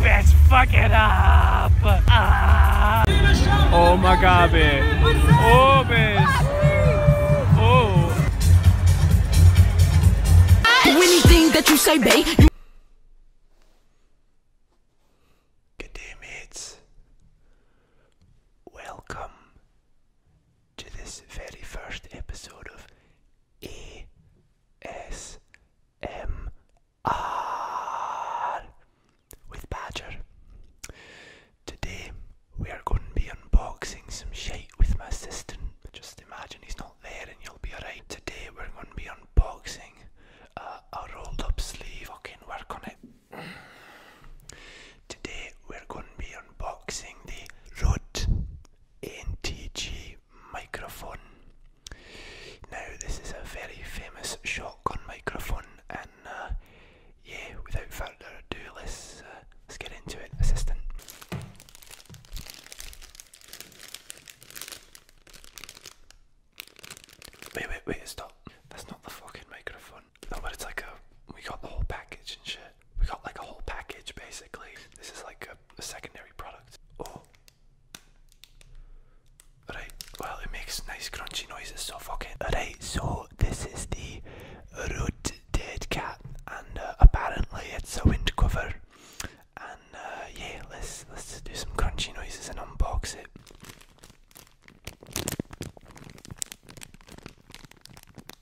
Bitch, fuck it up. Ah. Oh my god, bitch. Oh, Oh. Anything that you say, babe. Good day, mates. Welcome to this very first episode of ASMR with Badger. Today we are going to be unboxing some shit with my assistant. Just imagine he's not there and you'll be alright. Today we're going to be unboxing uh, a rolled up sleeve. I can work on it. Today we're going to be unboxing the Road NTG microphone. Now, this is a very famous shotgun microphone, and uh, yeah, without further ado, let's, uh, let's get into it, assistant. Wait, wait, wait, stop. That's not the fucking microphone. Oh, but it's like a. Uh, we got the whole package and shit. We got like a whole package basically. This is like a, secondary product. Oh. Right, well, it makes nice crunchy noises, so fuck Alright, so this is the Root Dead Cat, and uh, apparently it's a wind And uh, yeah, let's let's do some crunchy noises and unbox it.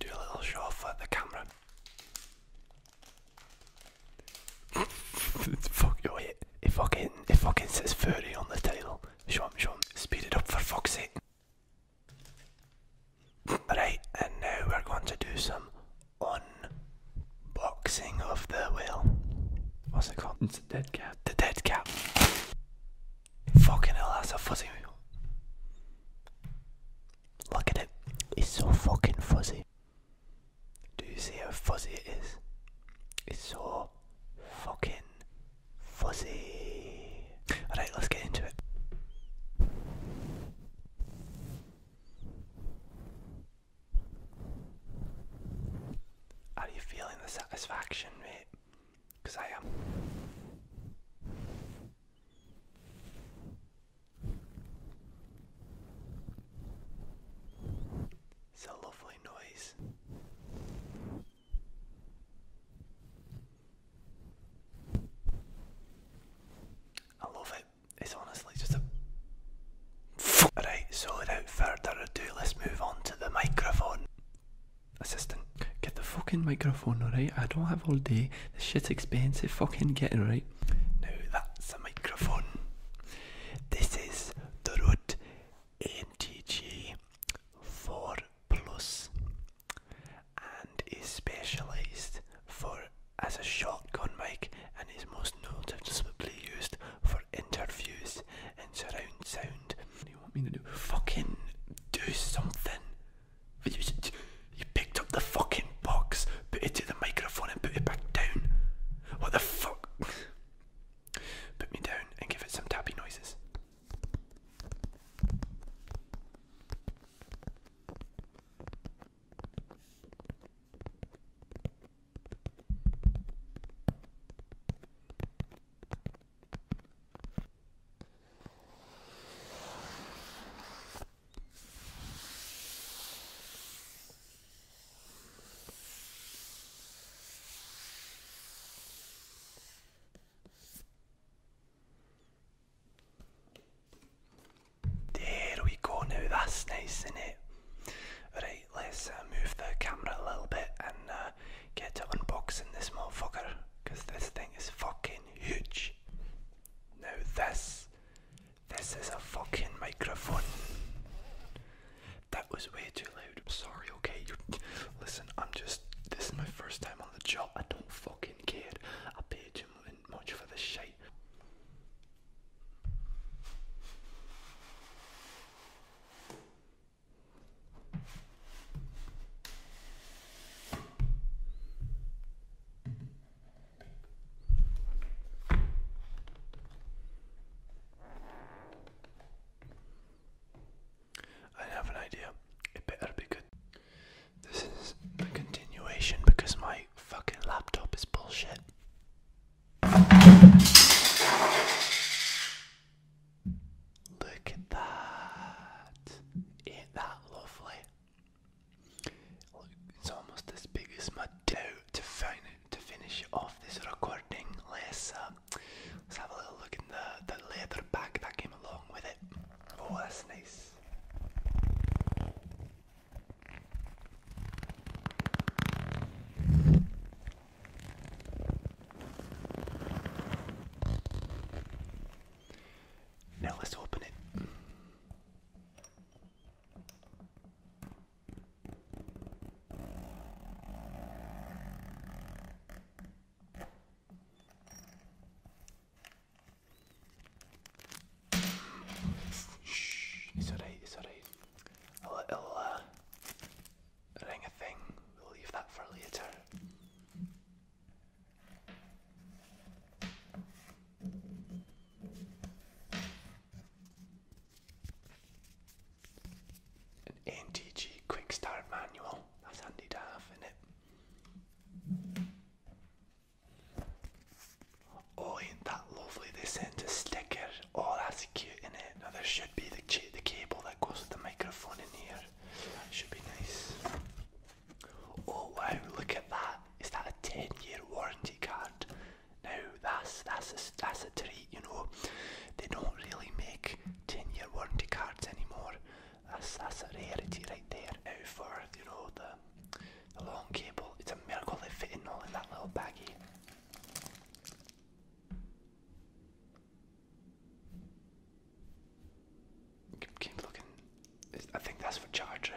Do a little show off the camera. fuck, your it, it fucking, it fucking says 30 on the title. Show him, Speed it up for Foxy. Right, and now we're going to do some unboxing of the whale. What's it called? It's a dead cat. The dead cat. Fucking hell, that's a fuzzy. Look at it. It's so fucking fuzzy. Do you see how fuzzy it is? It's so fucking fuzzy. Alright, let's get into it. Are you feeling the satisfaction, mate? I am. It's a lovely noise. I love it. It's honestly just a Alright, so without further ado, let's move on to the microphone. Assistant, get the fucking microphone, alright? I don't have all day. This shit's expensive, fucking getting right. Now that's a microphone. This is the Rode NTG 4 Plus and is specialised for as a shotgun mic and is most noticeably used for interviews and surround sound. What do you want me to do? Fucking do something. You, you picked up the fucking box, put it to the microphone and put it back down. What the fuck? Put me down and give it some tappy noises. There we go now, that's nice, isn't it? Right, let's uh, move the camera a little bit and uh, get to unboxing this motherfucker because this thing is fucking huge. Now this, this is a fucking microphone. That was way too loud. I'm sorry, okay? you listen, I'm just, this is my first time on the job. I don't fucking care. I paid too much for this shit. I have an idea. It better be good. This is a continuation because my fucking laptop is bullshit. Look at that. Ain't that lovely? it's almost as big as my toe to, finish off this recording. Let's, let's have a little look in the, the leather bag that came along with it. Oh, that's nice. Now let's open it. Shh, it's alright, it's alright. A little uh, thing, we'll leave that for later. An NTG Quick Start Manual, that's handy to have in it. Oh, isn't that lovely? They sent a sticker. Oh, that's cute, in it? Now there should be the the cable that goes with the microphone in here. That should be nice. Oh wow! Look at that. Is that a ten-year warranty card? Now that's that's a, that's a treat, you know. They don't really make ten-year warranty cards anymore. That's a rarity right there. Now for you know the the long cable. It's a miracle they fit in all in that little baggy. Keep, looking. I think that's for charge,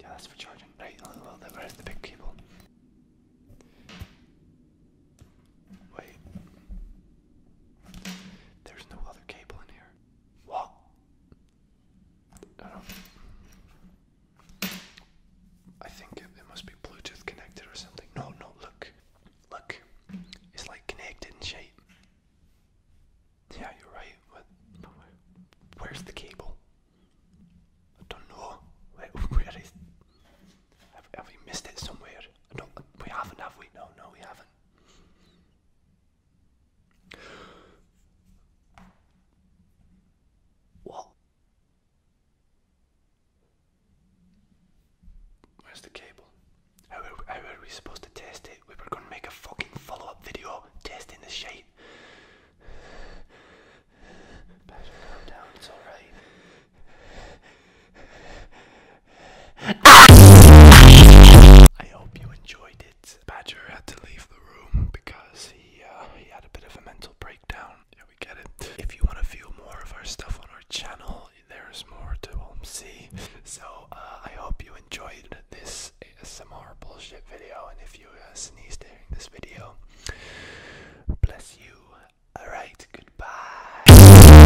Yeah, that's for charging. Right, well, where's the big cable? Wait. There's no other cable in here. What? I think it, must be Bluetooth connected or something. No, no, look, look, it's like connected in shape. Yeah, you're right. Where's the cable? I don't know. where is? Have, have we missed it somewhere? I don't. We haven't, have we? No, no, we haven't. What? Where's the cable? How are, we supposed to test it? We were gonna make a fucking follow up video testing the shape. Patrick, calm down, it's alright. I hope you enjoyed it. Badger had to leave the room because he uh, he had a bit of a mental breakdown. Yeah, we get it. If you want to view more of our stuff on our channel, there's more to um, see. So uh, I hope you enjoyed this ASMR bullshit video. And if you uh, sneezed during this video, bless you. Alright, goodbye.